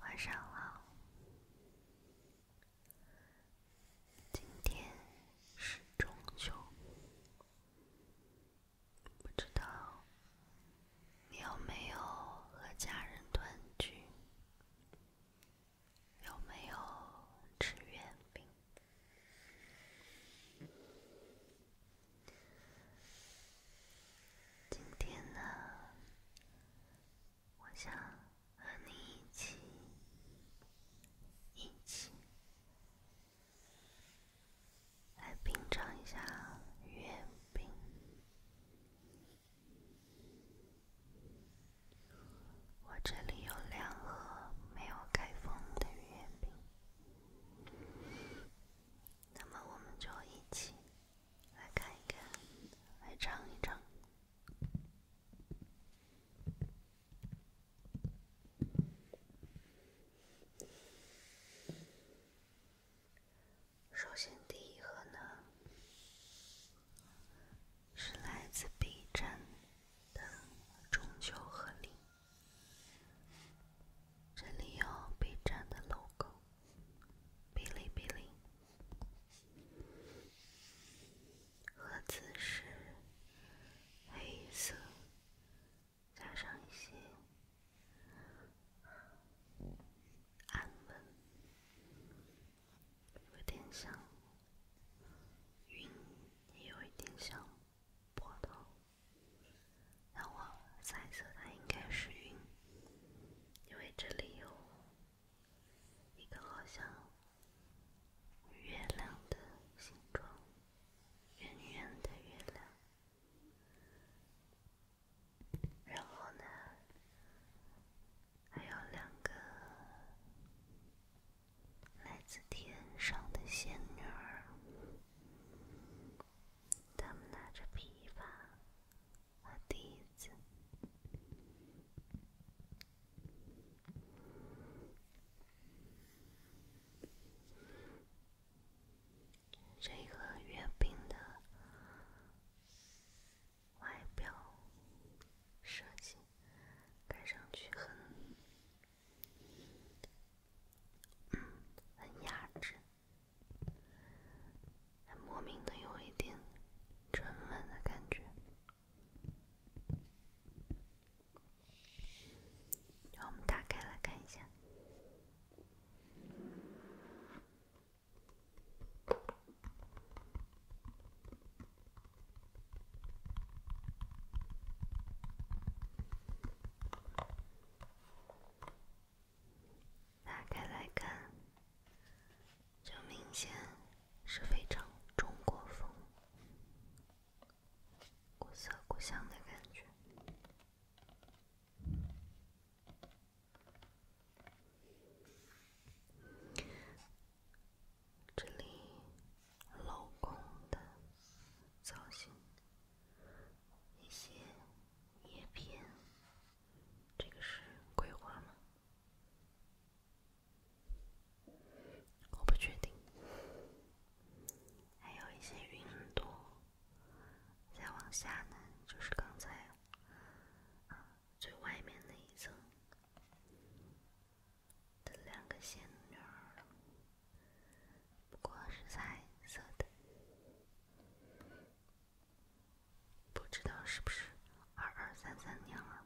晚上好，今天是中秋，不知道你有没有和家人团聚，有没有吃月饼？今天呢，我想和你一起，一起来品尝一下月饼。我这里有两盒没有开封的月饼，那么我们就一起。来看一看，来尝一尝。首先第一盒呢，是来自 B 站的中秋贺礼。这里有 B 站的 logo，哔哩哔哩，盒子是黑色，加上一些像云，也有一点像波涛。让我猜测，它应该是云，因为这里有一个好像月亮的形状，圆圆的月亮。然后呢，还有两个来自天上的仙女，她们拿着琵琶。我第一次，这个月饼的外表设计看上去很，嗯，很雅致。很莫名的有一点沉稳的感觉，让我们打开来看一下。打开来看，就明显是非常中国风、古色古香的感觉。这里镂空的造型，那些叶片。这个是桂花吗？我不确定。还有一些云朵，再往下呢，就是刚才啊最外面那一层的两个仙女儿了，不过是彩色的。不知道是不是二二三三年了？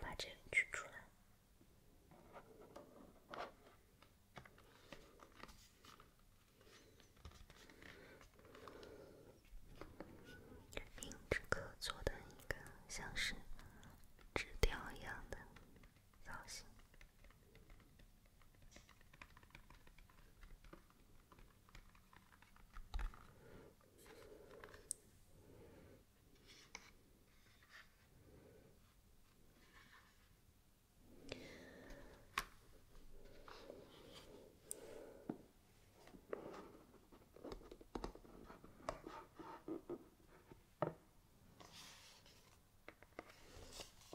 把针取出来。用纸壳做的一个像是纸雕一样的造型。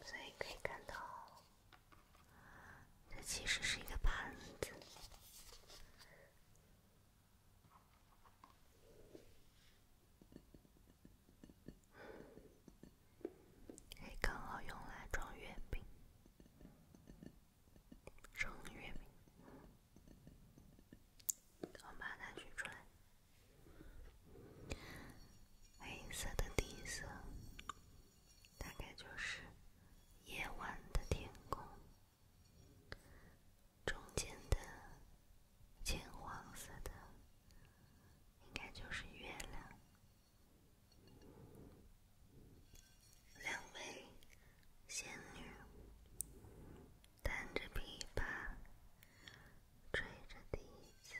所以可以看到，它其实是一个盘子，可以刚好用来装月饼。正月明，我把它选出来。黑色的底色，大概就是夜晚的天空。中间的金黄色的，应该就是月亮。两位仙女弹着琵琶，吹着笛子。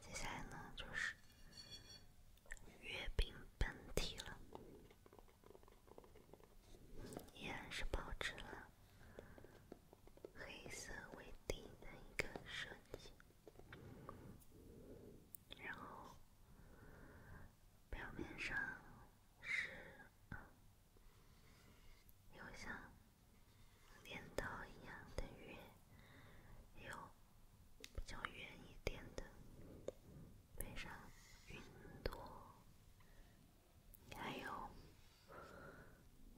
接下来呢，就是。月饼本体了，依然是保持了黑色为底的一个设计，然后表面上是有像镰刀一样的月，有。比较远一点的，背上云朵，还有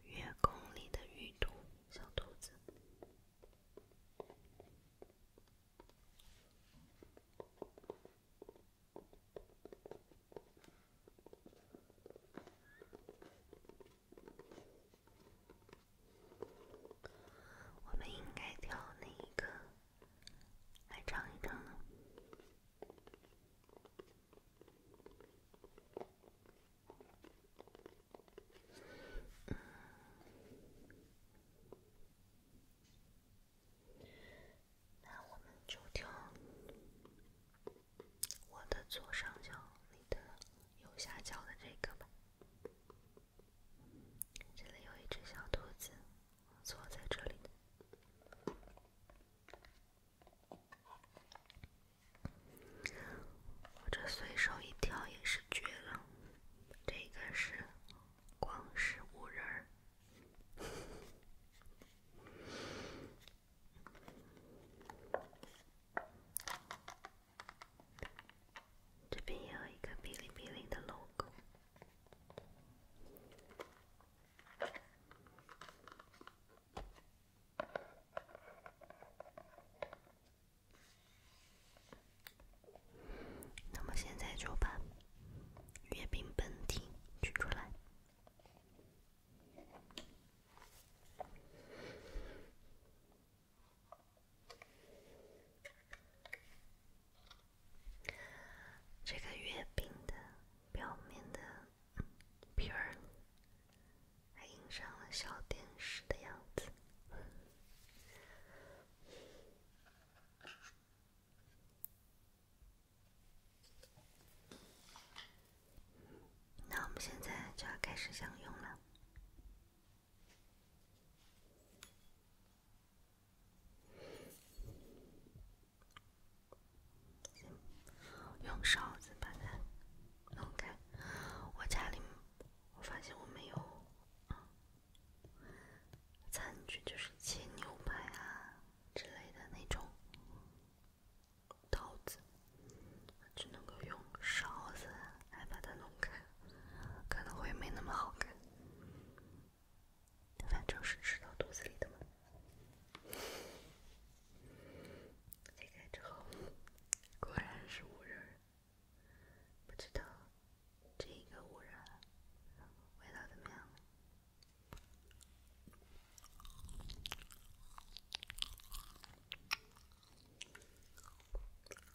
月宫里的玉兔小兔子。我们应该挑哪一个来唱一唱呢？那我们就挑我的左上角，你的右下角的这个吧。这里有一只小兔子，坐在这里呢。我这随手一挑也是绝了，这个是光是五人儿。这边也有一个“哔哩哔哩”的 logo。那么现在就把月饼本体取出来。这个月饼的表面的皮儿，还印上了小电视的样子。那我们现在就要开始享用了。用勺子把它弄开。我家里我发现我没有餐具就是切牛排啊之类的那种刀子，只能够用勺子来把它弄开。可能会没那么好看，反正是吃到肚子里的嘛。切开之后，果然是五仁。不知道这个五仁味道怎么样？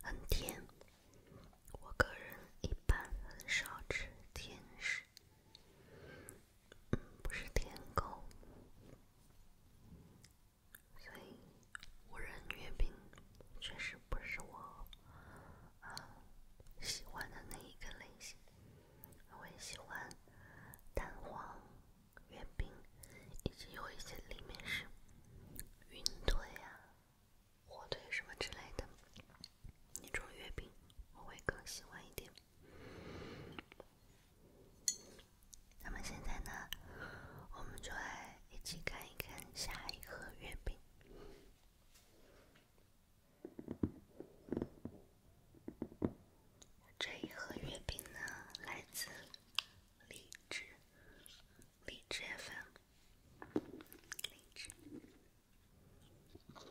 很甜，我个人一般很少吃甜食，嗯，不是甜口，所以无人月饼确实不是我。啊，喜欢的那一个类型，我会喜欢蛋黄月饼，以及有一些里面是云腿啊、火腿什么之类的那种月饼，我会更喜欢一点。那么现在呢，我们就来一起看一看下一盒月饼。这一盒月饼呢，来自荔枝，荔枝粉，荔枝，很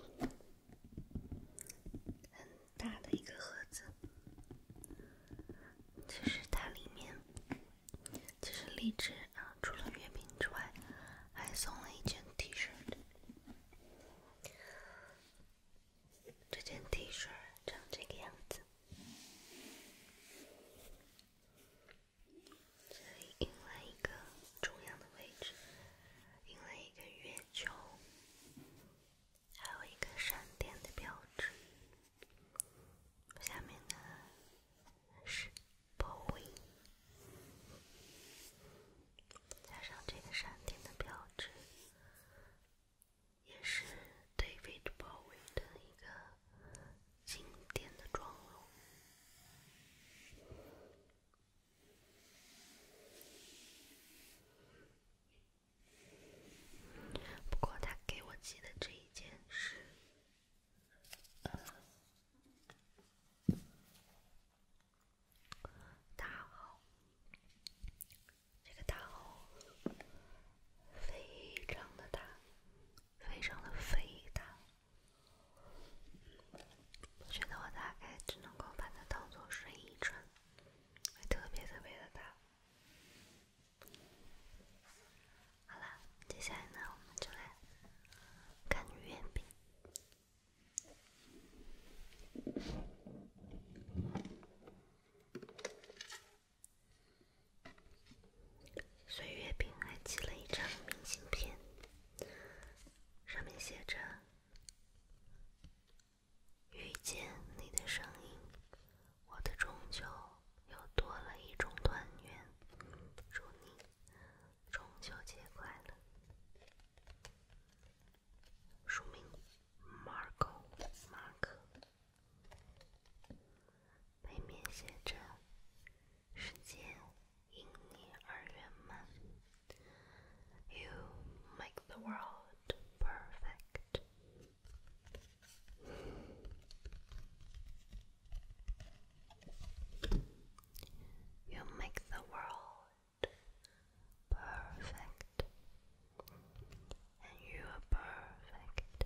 大的一个盒子。其实它里面就是荔枝除了月饼之外，还送了一件 T 恤。这件 T 恤长这个样子，这里印了一个中央的位置印了一个月球，还有一个闪电的标志。下面呢是。包围，加上这个闪电的标志，也是对飞猪包围的一个经典的妆容。不过他给我寄的这一件是。大号，这个大号非常的大，非常的肥大。我觉得我大概只能够把它当做睡衣穿，特别特别的大。好啦，接下来呢，我们就来看月饼。岁月饼还寄了一张明信片，上面写着：“遇见你的声音，我的中秋又多了一种团圆。祝你。”中秋节快乐！署名 Marco 马克，背面写着：世界因你而圆满。You make the world perfect. You make the world perfect, and you are perfect.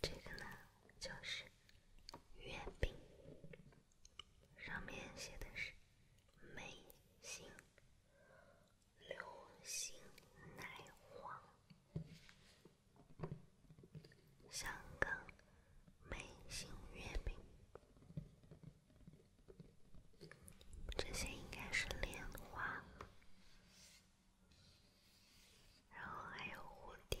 这个呢，就是月饼，上面写的是“美心流心奶黄香港美心月饼”。这些应该是莲花，然后还有蝴蝶。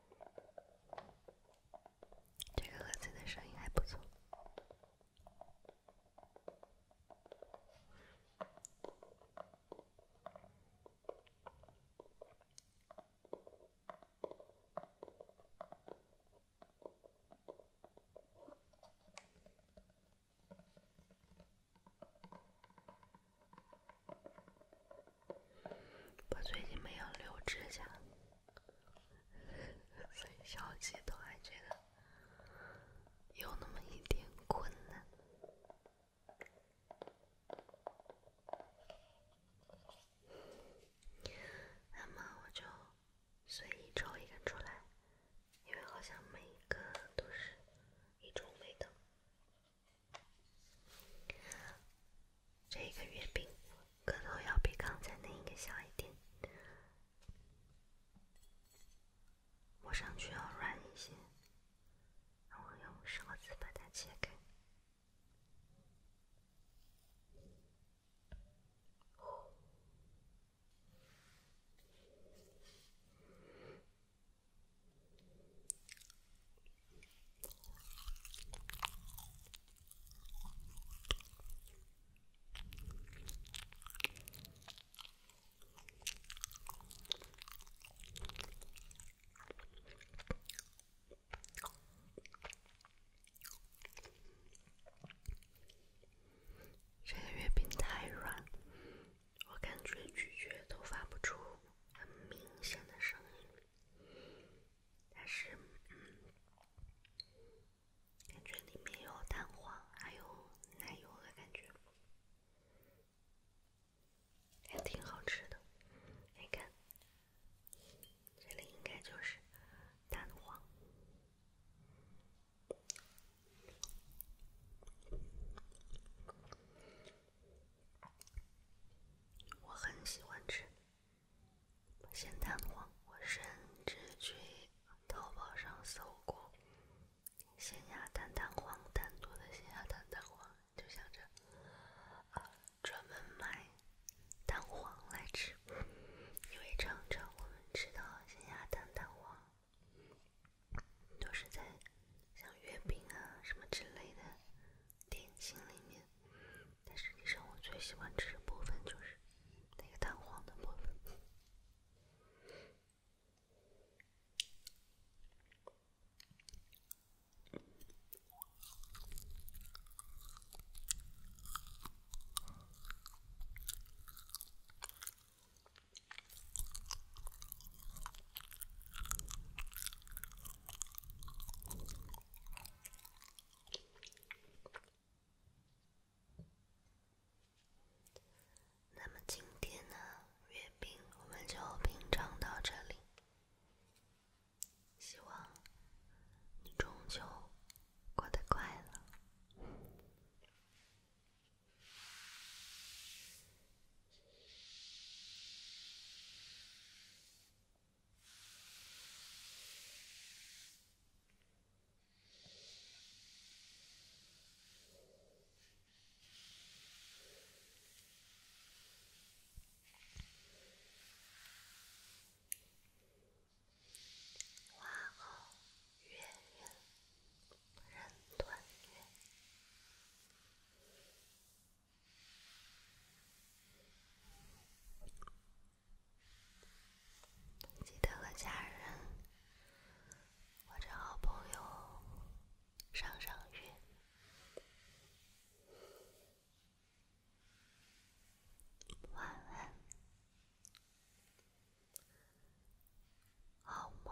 这个盒子的声音还不错。我最近没有留指甲，所以小鸡都还觉得有那么一点困难。那么我就随意抽一根出来，因为好像每个都是一种味道。这个月饼，个头要比刚才那一个小一点，摸上去要软一些，然后用勺子把它切开。这个月饼太软，我感觉咀嚼都发不出很明显的声音。它是，嗯，感觉里面有蛋黄，还有奶油的感觉，还挺好吃的。你看，这里应该就是蛋黄。我很喜欢吃咸蛋黄，我甚至去淘宝上搜过咸鸭蛋蛋黄单独的咸鸭蛋蛋黄，就想着啊专门买蛋黄来吃，因为常常我们吃到咸鸭蛋蛋黄都是在像月饼啊什么之类的。点心里面，但实际上我最喜欢吃的部分就是那个蛋黄的部分。那么今天呢，月饼我们就品尝到这里。希望你中秋过得快乐。花好月圆，人团圆。记得和家人或者好朋友赏赏月，晚安，好梦。